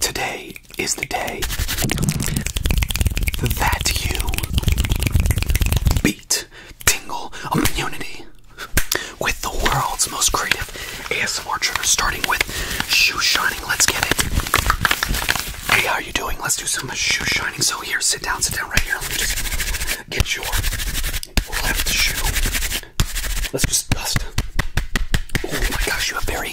Today is the day that you beat Tingle community with the world's most creative ASMR trigger, starting with shoe shining. Let's get it. Hey, how are you doing? Let's do some shoe shining. So here, sit down, sit down right here. Let me just get your left shoe. Let's just dust. Oh my gosh, you have very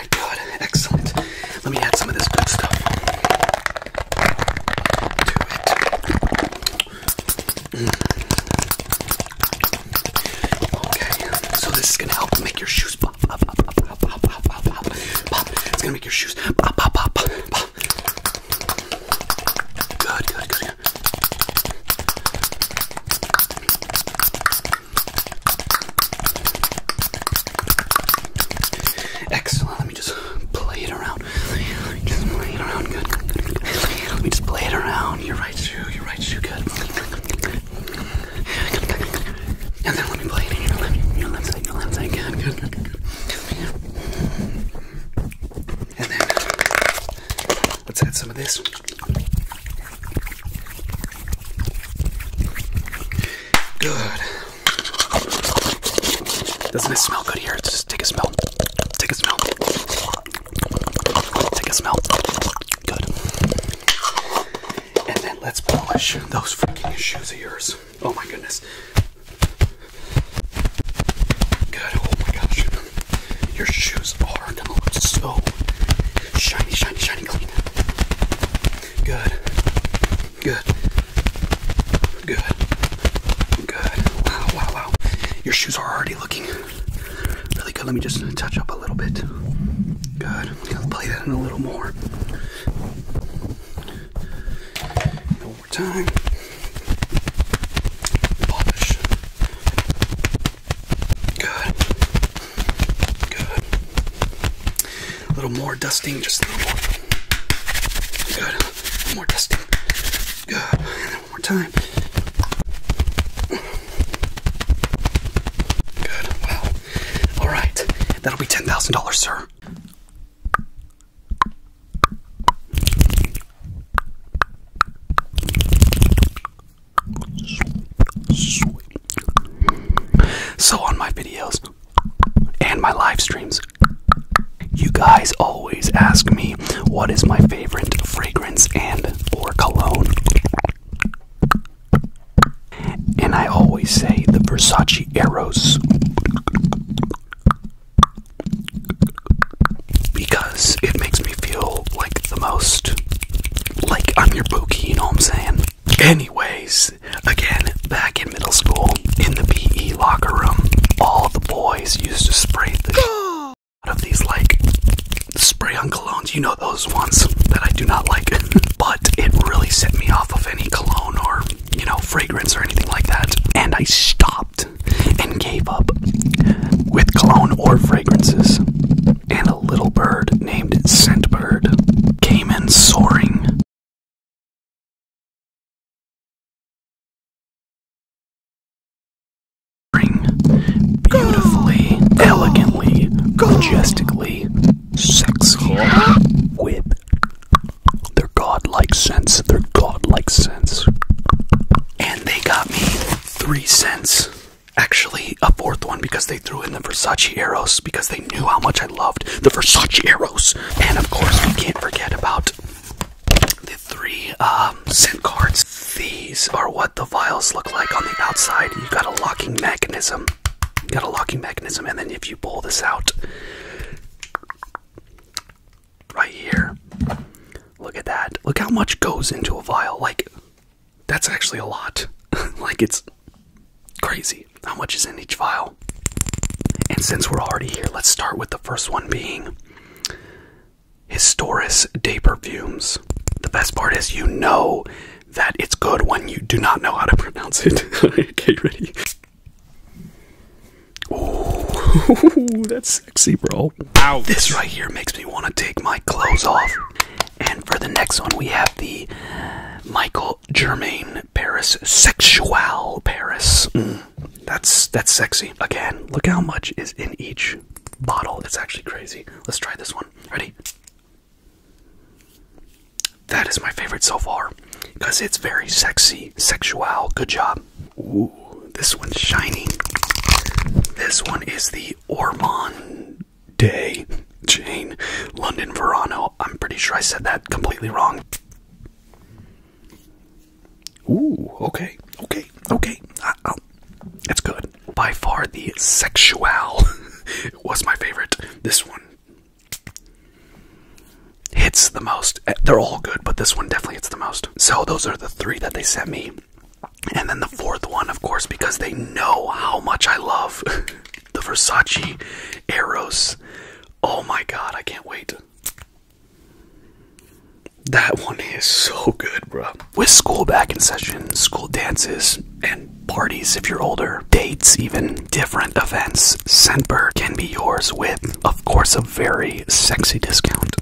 excellent. Let me add some of this good stuff Okay, so this is gonna help make your shoes pop, pop, pop, pop, pop, pop, pop, pop, pop. It's gonna make your shoes pop, pop, pop, pop, pop. Good, good, good. Excellent. Let me just play it around. just play it around. Good. Let me just play it around. Your right shoe. Your right shoe. Good. And then let me play it in your left, your Your left side. good. And then let's add some of this. Good. Doesn't it smell good here? Just take a smell. Take a smell. Take a smell. Good. And then let's polish those freaking shoes of yours. Oh my goodness. Good. Oh my gosh. Your shoes are gonna look so Shiny, shiny, shiny, clean. Good. Good. Good. Good. Wow, wow, wow. Your shoes are already looking really good. Let me just touch up a little bit. Good. Gonna play that in a little more. One more time. Polish. Good. Good. A little more dusting, just a little more. Good. more dusting. Good. one more time. Good. Wow. All right. That'll be $10,000, sir. So on my videos and my live streams, you guys always ask me what is my favorite fragrance and or cologne. And I always say the Versace Eros because it makes me feel like the most like I'm your bookie, you know what I'm saying? Anyways, again, back in middle school, in the PE locker room, all the boys used to spray out of these like spray on colognes. You know those ones that I do not like, but it really set me off of any cologne or you know fragrance or anything like that. And I stopped and gave up with cologne or fragrances and a little bird named Scentbird came in soaring. Beautifully, elegantly, majestically, sexy, with their godlike sense, their godlike sense. And they got me three cents actually a fourth one because they threw in the Versace Eros because they knew how much I loved the Versace Eros. And of course, we can't forget about the three um, scent cards. These are what the vials look like on the outside. You've got a locking mechanism. You've got a locking mechanism, and then if you pull this out right here, look at that. Look how much goes into a vial. Like, that's actually a lot. like, it's crazy how much is in each vial. And since we're already here, let's start with the first one being Historis day Perfumes. The best part is you know that it's good when you do not know how to pronounce it. okay, ready? Ooh, that's sexy, bro. Ouch. This right here makes me want to take my clothes off and for the next one, we have the Michael Germain Paris Sexual Paris. Mm, that's that's sexy. Again, look how much is in each bottle. It's actually crazy. Let's try this one. Ready? That is my favorite so far because it's very sexy, sexual. Good job. Ooh, this one's shiny. This one is the Ormond Day Jane London Verano. I'm pretty sure I said that completely wrong. Ooh, okay, okay, okay. Uh, oh, good. By far, the Sexual was my favorite. This one hits the most. Eh, they're all good, but this one definitely hits the most. So, those are the three that they sent me. And then the fourth one, of course, because they know how much I love the Versace Eros. Oh my god, I can't wait. That one is so good, bro. With school back in session, school dances and parties if you're older, dates even, different events, Scentbird can be yours with, of course, a very sexy discount.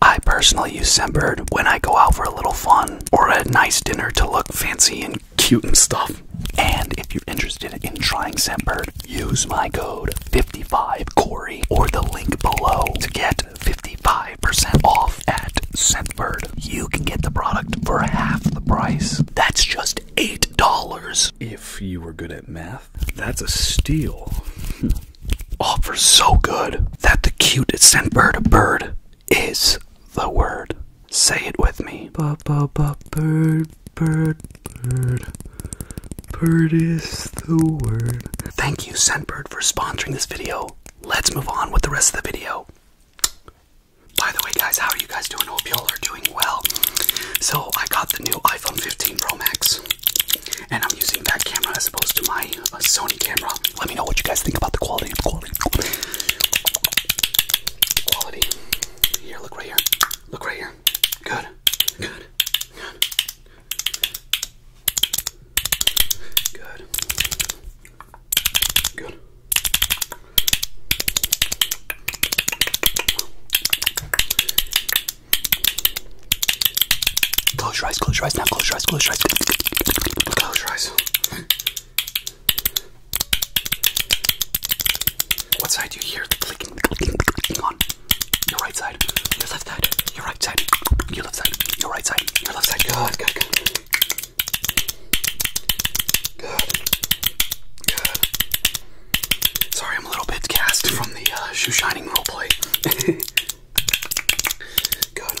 I personally use Scentbird when I go out for a little fun or a nice dinner to look fancy and cute and stuff. And if you're interested in trying Sentbird, use my code 55Corey or the link below to get 55% off at Sentbird. You can get the product for half the price. That's just $8. If you were good at math, that's a steal. Hmm. Offers so good that the cutest Scentbird bird is the word? Say it with me. bird, bird, bird. Bird is the word. Thank you, Scentbird, for sponsoring this video. Let's move on with the rest of the video. By the way, guys, how are you guys doing? Hope y'all are doing well. So, I got the new iPhone 15 Pro Max, and I'm using that camera as opposed to my uh, Sony camera. Let me know what you guys think about the quality. Quality. Quality. Here, look right here. Look right here. Good. Good. Good. Good. Close your eyes, close your eyes now, close your eyes, close your eyes. Close your eyes. What side do you hear the clicking, the clicking, the clicking on? Your right side, your left side, your right side, your left side, your right side, your left side. Good, good, good. Good. Good. Sorry, I'm a little bit cast from the uh, shoe shining roleplay. good.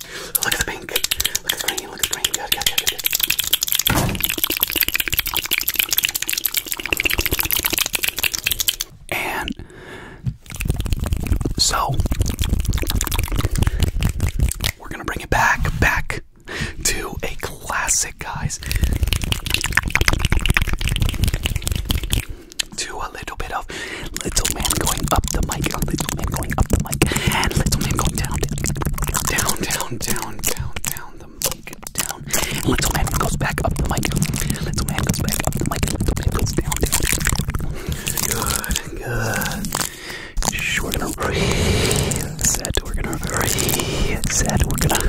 Look at the pink. Look at the green. Look at the green. Good, good, good, good. good. And so we're gonna bring it back, back to a classic, guys. To a little bit of little man going up the mic, little man going up the the mic and let's all go down, down, down, down, down, down the mic, down. And little man goes back up the mic. Little man goes back up the mic. Little man goes down, down. Good, good. Shh, we're gonna reset. We're gonna reset. We're gonna,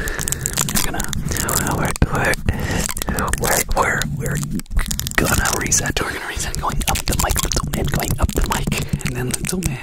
we're gonna, we're, we're, we're, we're, we're gonna reset. We're gonna reset. Going up the mic. Little man going up the mic. And then little man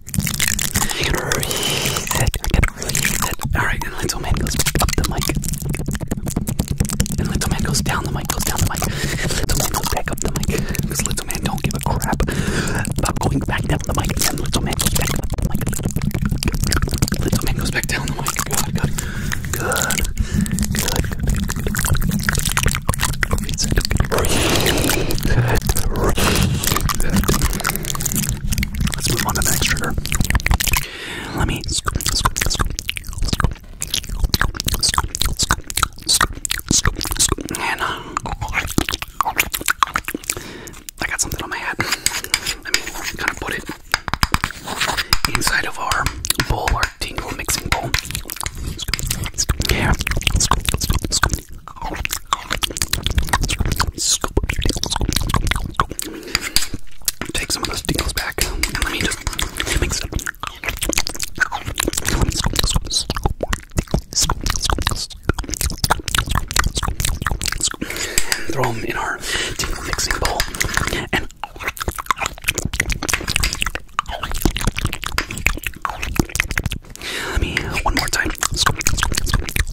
I can read it. I can read it. Alright, and Little Man goes up the mic. And Little Man goes down the mic, goes down the mic. Little Man goes back up the mic. Because Little Man don't give a crap about going back down the mic. And Little Man goes back up the mic. Little Man goes back down the mic. God, God. Good. Good. Good. Good. Good. Good. Good. Good. Good. Let's move on to the next trigger. Let me scoop, scoop, scoop, scoop, scoop, scoop, scoop, scoop, and uh, I got something on my hat. Let me kind of put it inside of our bowl, our tingle mixing bowl. Scoop, scoop, yeah. scoop, scoop, scoop, Take some of those dingles back and let me just mix it up. And throw them in our tingle mixing bowl. And let me one more time.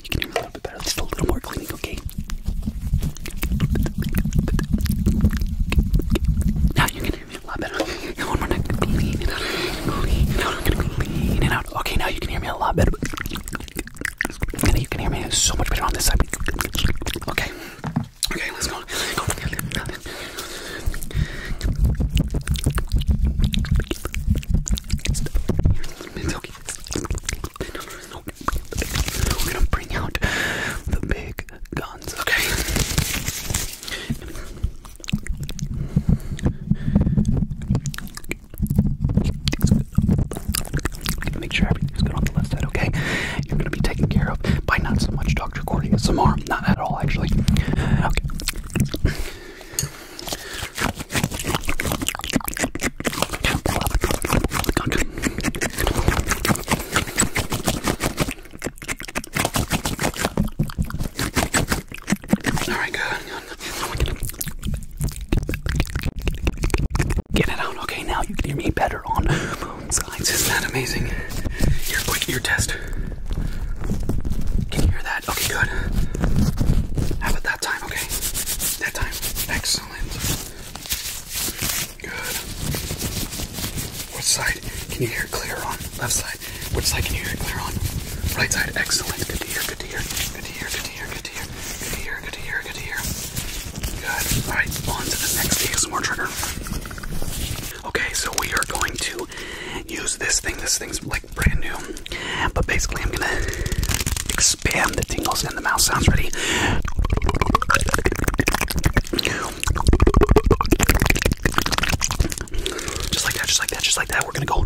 now you can hear me a little bit better. Just a little more cleaning, okay? Now you can hear me a lot better. one more time, clean it out, out, Okay, now you can hear me a lot better. And you can hear me so much better on this side. Okay. Okay, let's go. It's okay. We're gonna bring out the big guns, okay? Gonna make sure everything's good on the left side, okay? You're gonna be taken care of by not so much Dr. Cordy as Samar. Not at all, actually. Okay. Alright, good. Get it out, okay? Now you can hear me better on both sides. Isn't that amazing? Your quick ear test. Can you hear that? Okay, good. Have a that time, okay? That time. Excellent. Good. Which side can you hear clear on? Left side. Which side can you hear clear on? Right side. Excellent. Good to hear, good to hear. Good to hear, good to hear, good to hear. Good to hear, good to hear, good to hear. Good. Alright, on to the next ASMR trigger. Okay, so we are going to use this thing. This thing's like brand new. But basically, I'm gonna expand the tingles and the mouth sounds. Ready? Just like that, just like that, just like that. We're gonna go.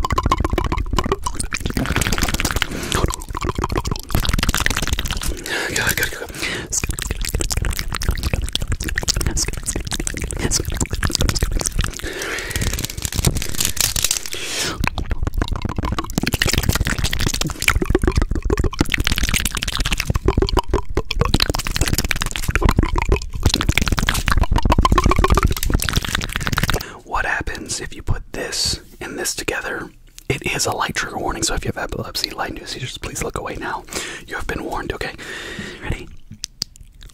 What happens if you put this and this together? It is a light trigger warning, so if you have epilepsy, light induced seizures, please look away now. You have been warned, okay? Ready?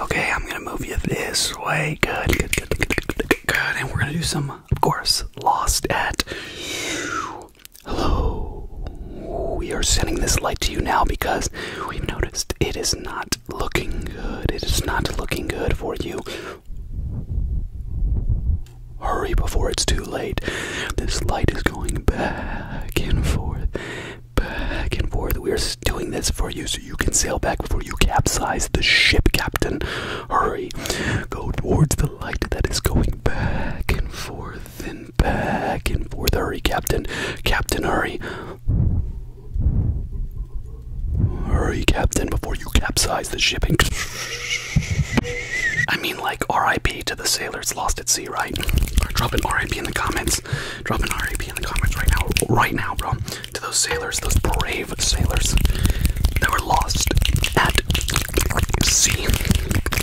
Okay, I'm gonna move you this way. Good, good, good, good, good, good, good. And we're gonna do some, of course, lost at. You. Hello. We are sending this light to you now because we've noticed it is not looking good. It is not looking good for you. Hurry before it's too late. This light is going back and forth, back and forth. We are doing this for you so you can sail back before you capsize the ship, Captain. Hurry. Go towards the light that is going back and forth and back and forth. Hurry, Captain. Captain, hurry. Hurry, Captain, before you capsize the ship I mean, like, RIP to the sailors lost at sea, right? Drop an RIP in the comments. Drop an RIP in the comments right now. Right now, bro. To those sailors, those brave sailors that were lost at sea.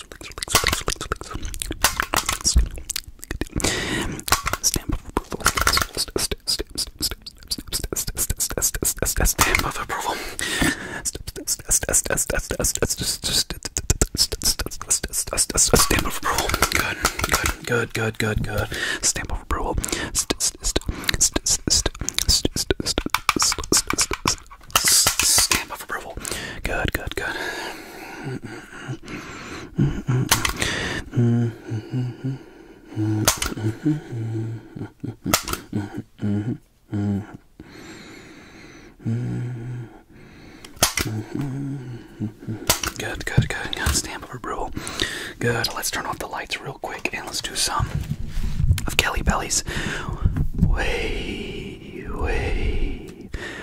Stamp of approval. Stamp of approval. Stamp of approval. Good, good, good, good, good, good. Stamp of approval. Stamp of approval stamp of approval. Good, good, good. Mm -mm. Good, good, good. Got stamp of approval. Good. Let's turn off the lights real quick and let's do some of Kelly Belly's. Way, way,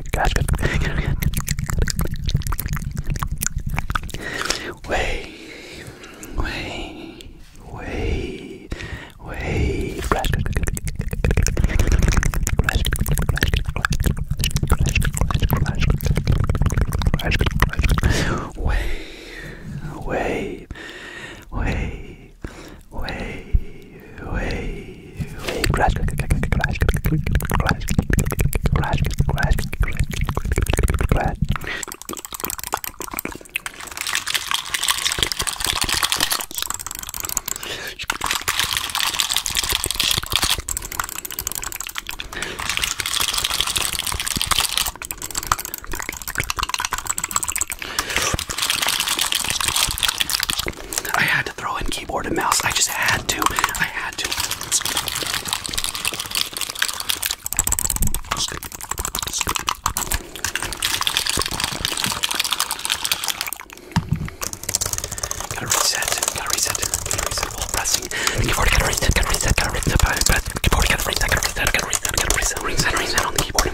Way, way, way, way. Crash, Way, way, way, way, way crash, crash, crash, crash, crash, crash, crash, I throw in keyboard and mouse. I just had to. I had to. Gotta reset. Gotta reset. Gotta reset. While pressing. Keyboard. Gotta reset. Gotta reset. Gotta reset. Gotta reset. Gotta reset. Gotta reset. Gotta Reset on the keyboard.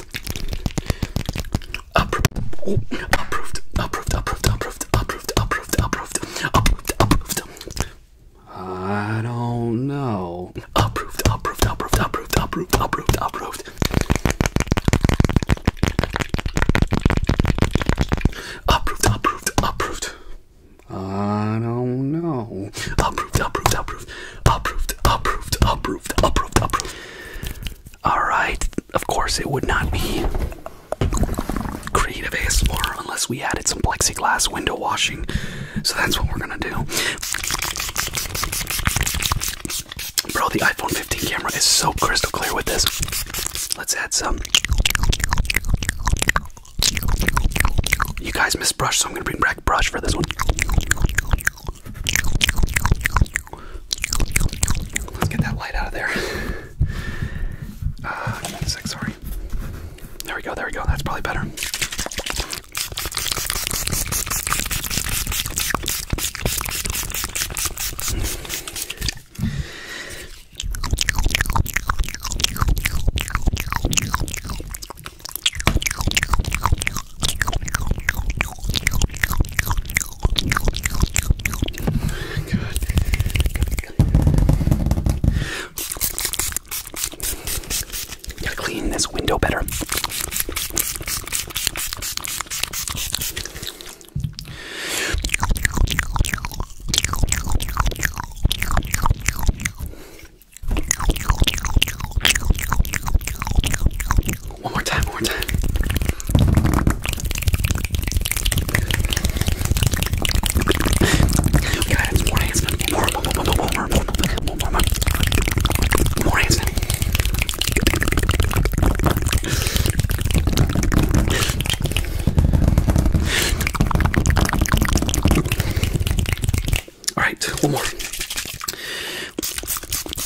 Approved. Oh, approved. Approved. Approved. Approved. Approved. Approved. Approved. Approved. Approved. I don't know. Approved. Approved. Approved. Approved. Approved. Approved. Approved. Approved. Approved. Approved. I don't know. Approved. Approved. Approved. Approved. Approved. Approved. Approved. Approved. Alright, of course, it would not be creative ASMR unless we added some plexiglass window washing. So that's what we're gonna do. Bro, the iPhone 15 camera is so crystal clear with this. Let's add some. You guys miss brush, so I'm gonna bring back brush for this one. Let's get that light out of there. Uh, give me a sec, sorry. There we go, there we go. That's probably better. Good. Gotta clean this window better. One more time, one more time. We got it. More hands. More, more, more, more, more, more, more, more, more, more. More All right, one more.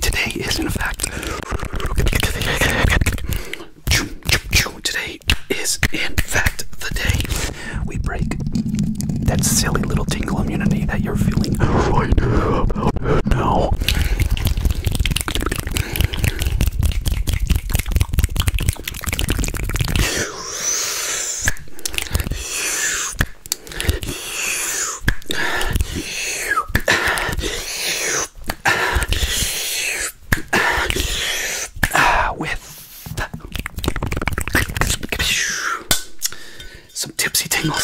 Today is, in fact, Today is, in fact, the day we break that silly little tingle immunity that you're feeling right now with some tipsy tingles.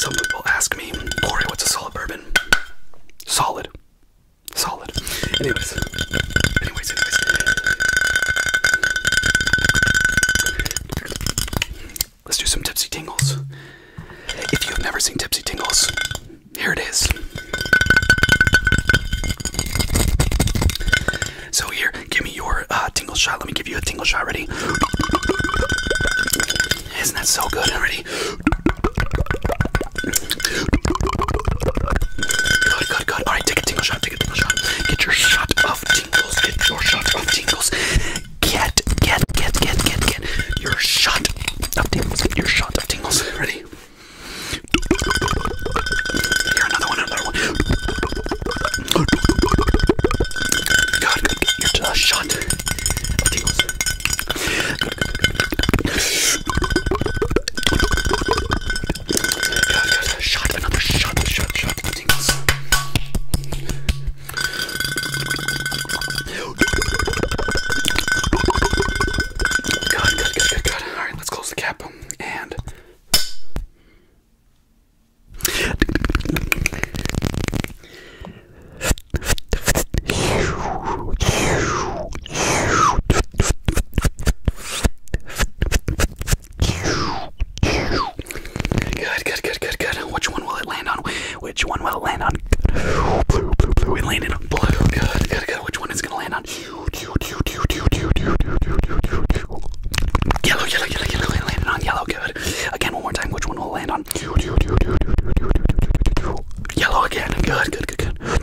Some people ask me, Corey, what's a solid bourbon? Solid. Solid. Anyways. Anyways, anyways. Let's do some Tipsy Tingles. If you've never seen Tipsy Tingles, here it is. So, here, give me your uh, tingle shot. Let me give you a tingle shot. Ready? Isn't that so good already? Good, good, good. Alright, take a tingle shot. Take a tingle shot. Get your shot of tingles. Get your shot of tingles get, get, get, get, get, get your shot of tingles. Get your shot of tingles. Ready? Here, another one, another one. God, get your shot of tingles. God, shot, another shot, shot, shot of tingles. Good, good, good, good, good. All right, let's close the cap and. Good, good, good, good, good. Which one will it land on? which one will it land on? Good. Blue, blue, blue. It landed on blue. Good, good, good. Which one is gonna land on? Yellow, yellow, yellow, yellow. It landed on yellow. Good. Again, one more time. Which one will land on? Yellow again. Good, good, good, good.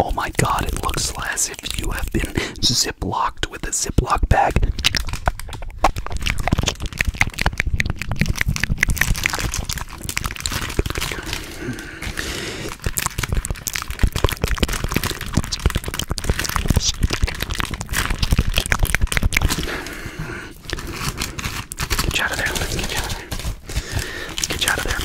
Oh my god, it looks as if you have been ziplocked with a ziplock bag. Get you out of there. Let's get you out of there. Let's get you out of there. Get you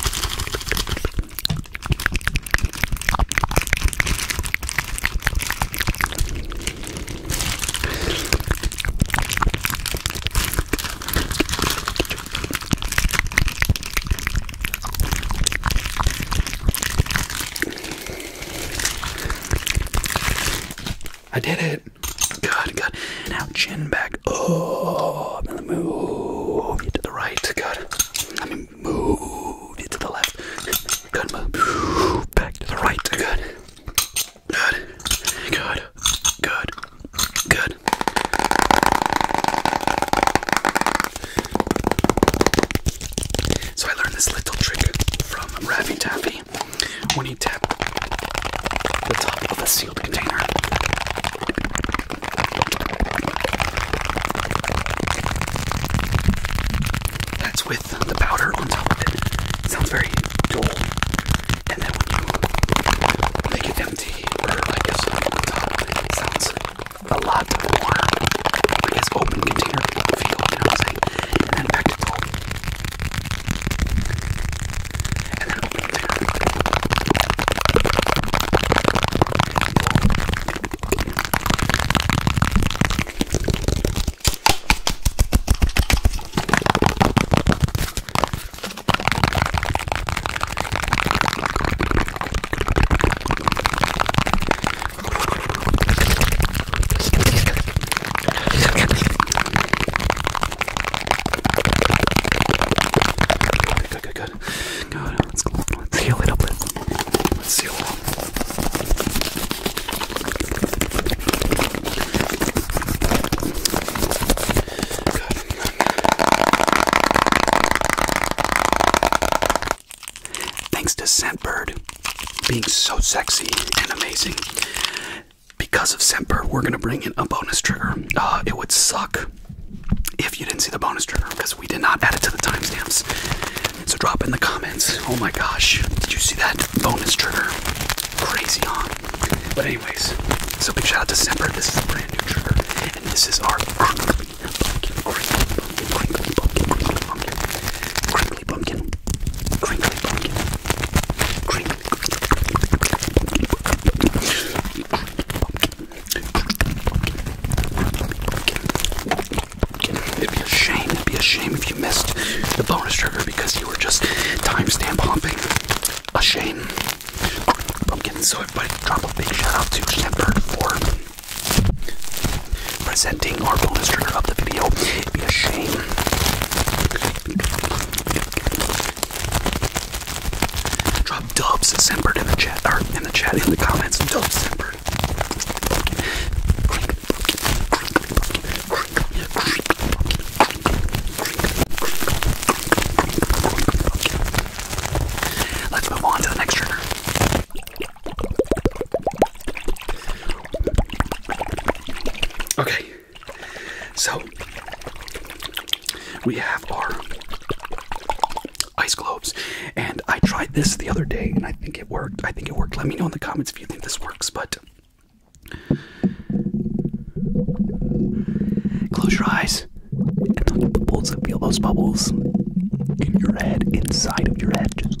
I did it. Good, good. Now chin back up and move you to the right. Good. I mean, move you to the left. Good. Move back to the right. Good. Good. Good. Good. Good. So I learned this little trick from Raffy Taffy when he tapped the top of a sealed container. That's with the powder on top of it. sounds very dull. And then when you make it empty, or I guess on top, sounds a lot more is open container field, you know what I'm saying? And then back to goal. And then open container field. Good, good, good. Good. Let's, let's heal it up. Let's seal it up. Good. Thanks to Scentbird being so sexy and amazing. Because of Scentbird, we're gonna bring in a bonus trigger. Uh, it would suck if you didn't see the bonus trigger because we did not add it to the timestamps. So drop in the comments. Oh my gosh, did you see that bonus trigger? Crazy on. Huh? But anyways, so big shout out to Scentbird. This is a brand new trigger, and this is our crinkly pumpkin, crinkly pumpkin, crinkly pumpkin, crinkly pumpkin, crinkly pumpkin, crinkly pumpkin, It'd be a shame, it'd be a shame if you missed the bonus trigger because you were just timestamp humping. A shame. I'm getting so everybody drop a big shout out to Shepard for presenting our bonus trailer of the video. It'd be a shame. Drop Dubs Sempert in the chat or in the chat in the comments. Dubs Sempert. Let's move on to the next trigger. Okay, so we have our ice globes, and I tried this the other day, and I think it worked. I think it worked. Let me know in the comments if you think this works, but. Close your eyes and those bubbles, feel those bubbles in your head, inside of your head. Just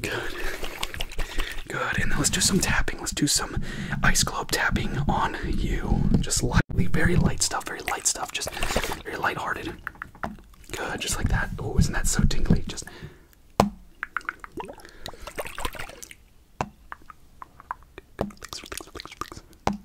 Good. Good. And let's do some tapping. Let's do some ice globe tapping on you. Just lightly, very light stuff, very light stuff. Just very lighthearted. Good, just like that. Oh, isn't that so tingly? Just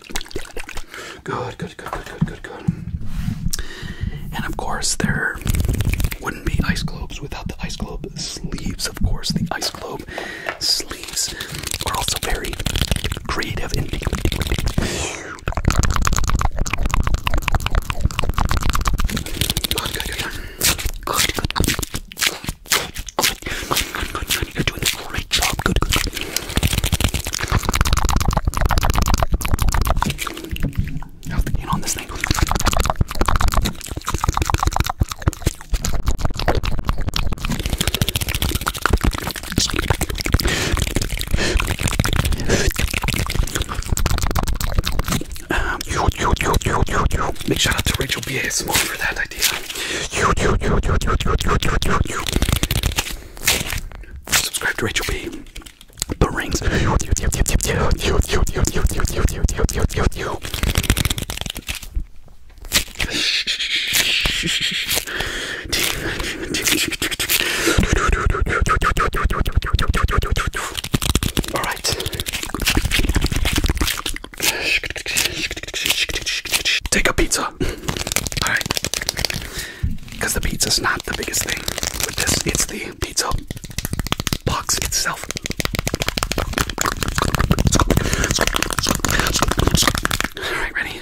good, good, good, good, good, good, good, And of course, there wouldn't be ice globes without the ice globe sleeves. Of course, the ice globe sleeves are also very creative and Good, good, good. on this thing? Um, you, you, you, you, you, you. Big shout out to Rachel B. A. Small for that idea. You, you, you, you, you, you, you, you, you. Subscribe to Rachel B. The rings. All right. Take a pizza. All right because the pizza's not the biggest thing with this, it's the pizza box itself. Alright, ready?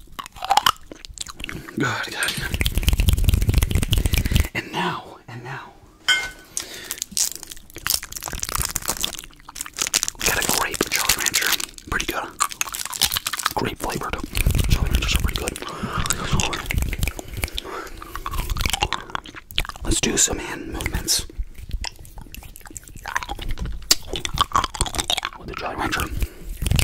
Good, good, good. And now, and now, we got a grape Jolly Rancher. Pretty good. great flavored. Jolly Ranchers are pretty good. Let's do some hand movements. With the Jolly Rancher.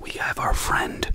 We have our friend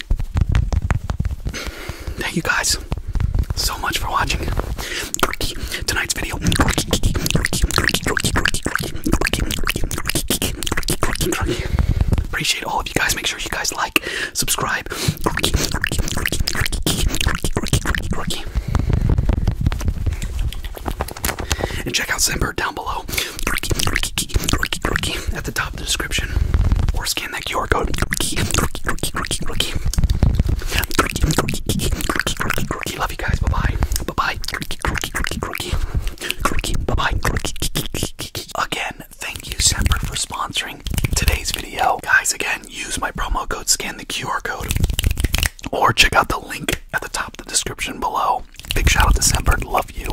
just thank you guys so much for watching tonight's video. Appreciate all of you guys. Make sure you guys like, subscribe. And check out Simber down below. At the top the description or scan that QR code. Love you guys. Bye bye. Bye bye. Again, thank you, Semper, for sponsoring today's video. Guys, again, use my promo code, scan the QR code, or check out the link at the top of the description below. Big shout out to Semper. Love you.